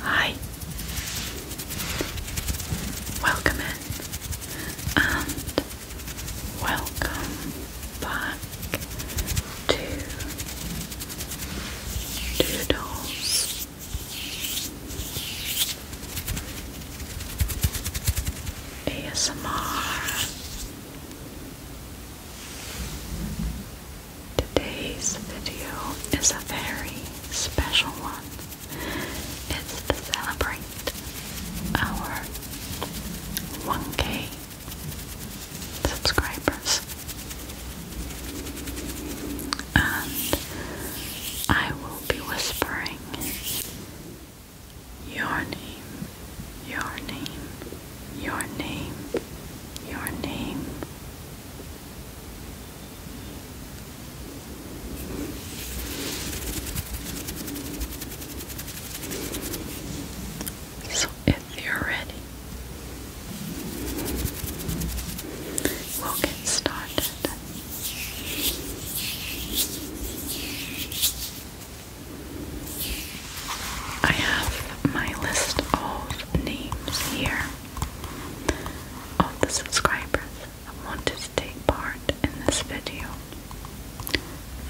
Hi. Welcome in and welcome back to Doodles. ASMR Today's video is a very special one. It's to celebrate our 1K subscribers. And I will be whispering your name, your name, your name, your name so, if you're ready, we'll get started. I have my list of names here of the subscribers that wanted to take part in this video.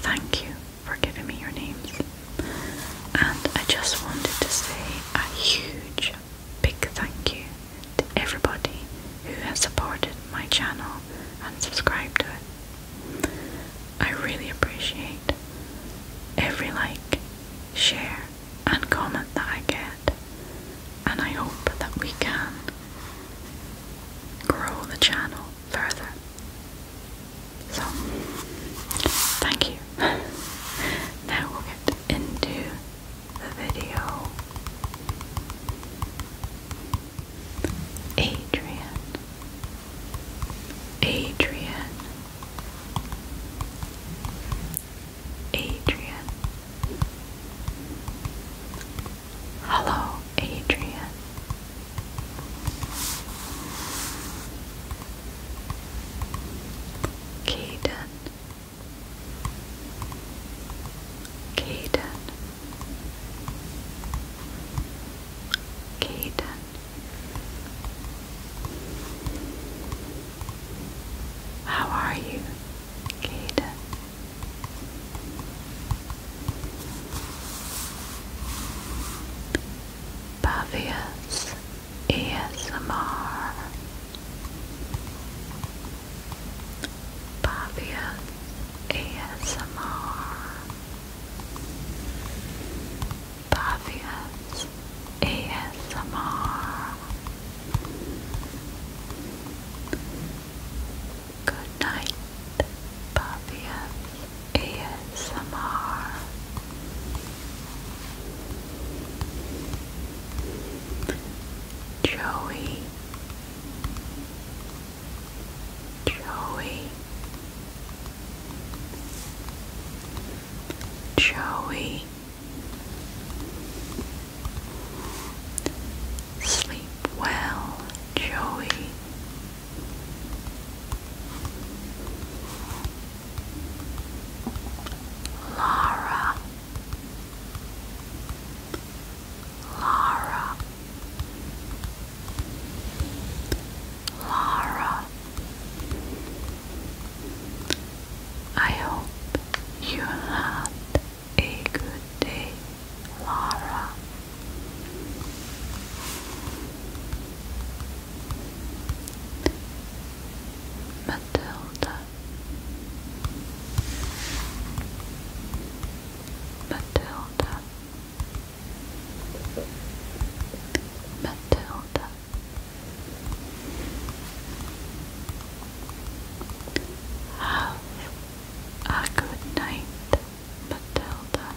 Thank you for giving me your names. And I just wanted to say a huge, big thank you to everybody who has supported my channel and subscribed to it. I really appreciate every like, share, and comment that I get, and I hope that we can grow the channel further. So, thank you. now we'll get into the video. Adrian. Adrian Adrian. Hello, Adrian. Caden. Caden. Caden. How are you, Kate? Bavius ASMR. Bavius ASMR. Bavia's ASMR. Good night, Bavia's ASMR. Joey Joey, Joey, sleep well, Joey. Lara, Lara, Laura, I hope you had a good day, Lara. Matilda. Matilda. Matilda Have a good night, Matilda.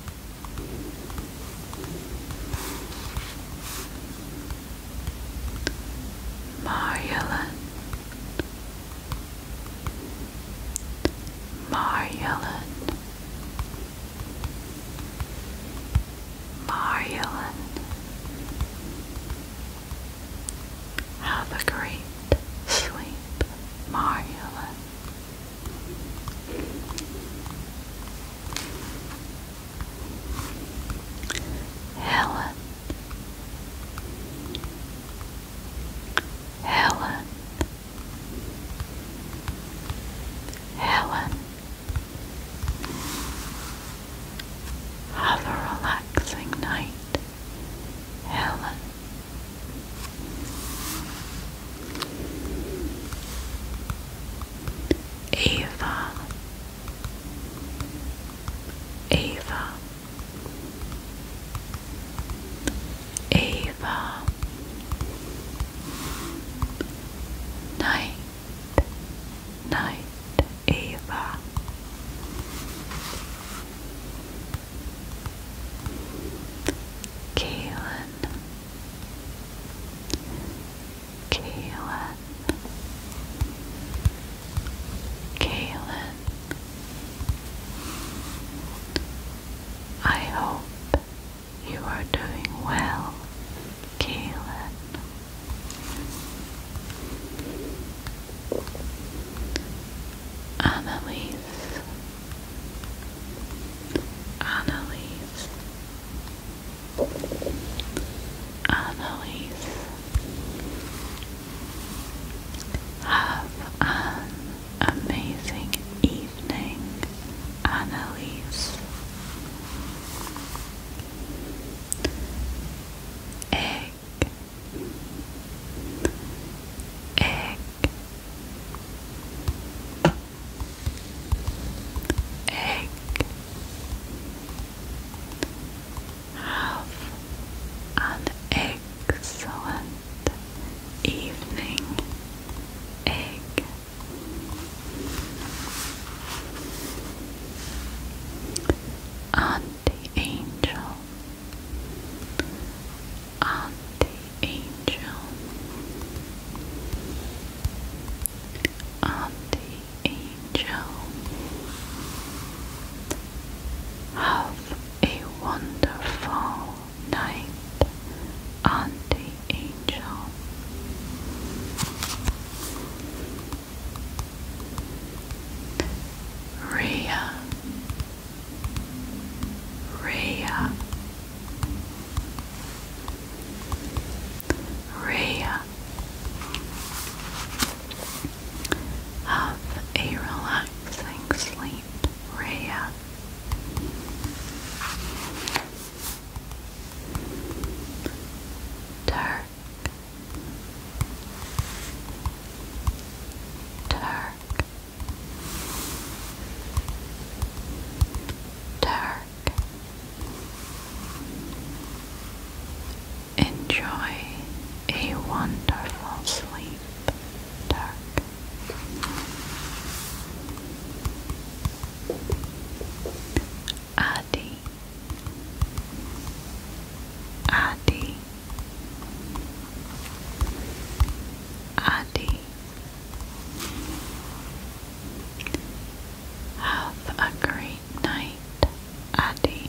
Marjolin Mariellen Mariellen Have a great sleep, Mariellen Helen Helen, Helen, have a relaxing night, Helen. Eva, Eva. Ava Night Night Ava Kaylin Kaylin Kaylin. I hope you are doing well, Kaylin. Annalise. Annalise. Annalise. Have an amazing evening, Annalise. Egg, egg, egg, have an excellent evening, egg. Auntie Angel, Auntie Angel, Auntie Angel. Joe. Have a wonderful night, Auntie Angel. Rhea, Rhea, Rhea, have a relaxing sleep, Raya. Turk. Turk. Turk. Enjoy a wonderful sleep, Dark. Adi. Adi. Adi. Have a great night, Addy.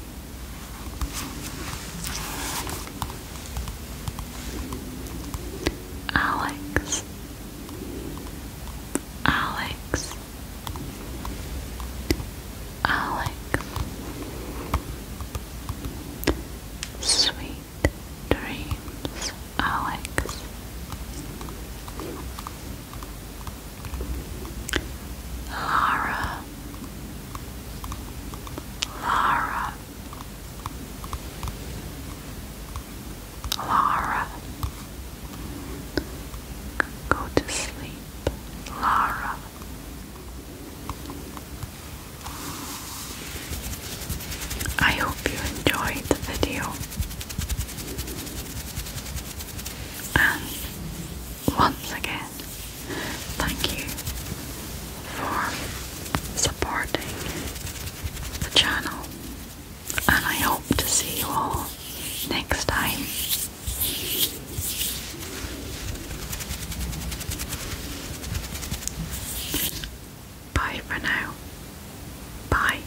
Alex, Alex, Alex, sweet dreams, Alex. Lara, Lara, Lara, go to sleep, Lara. I hope you enjoyed the video. And once again, thank you for supporting the channel. And I hope to see you all next time. Bye for now. Bye.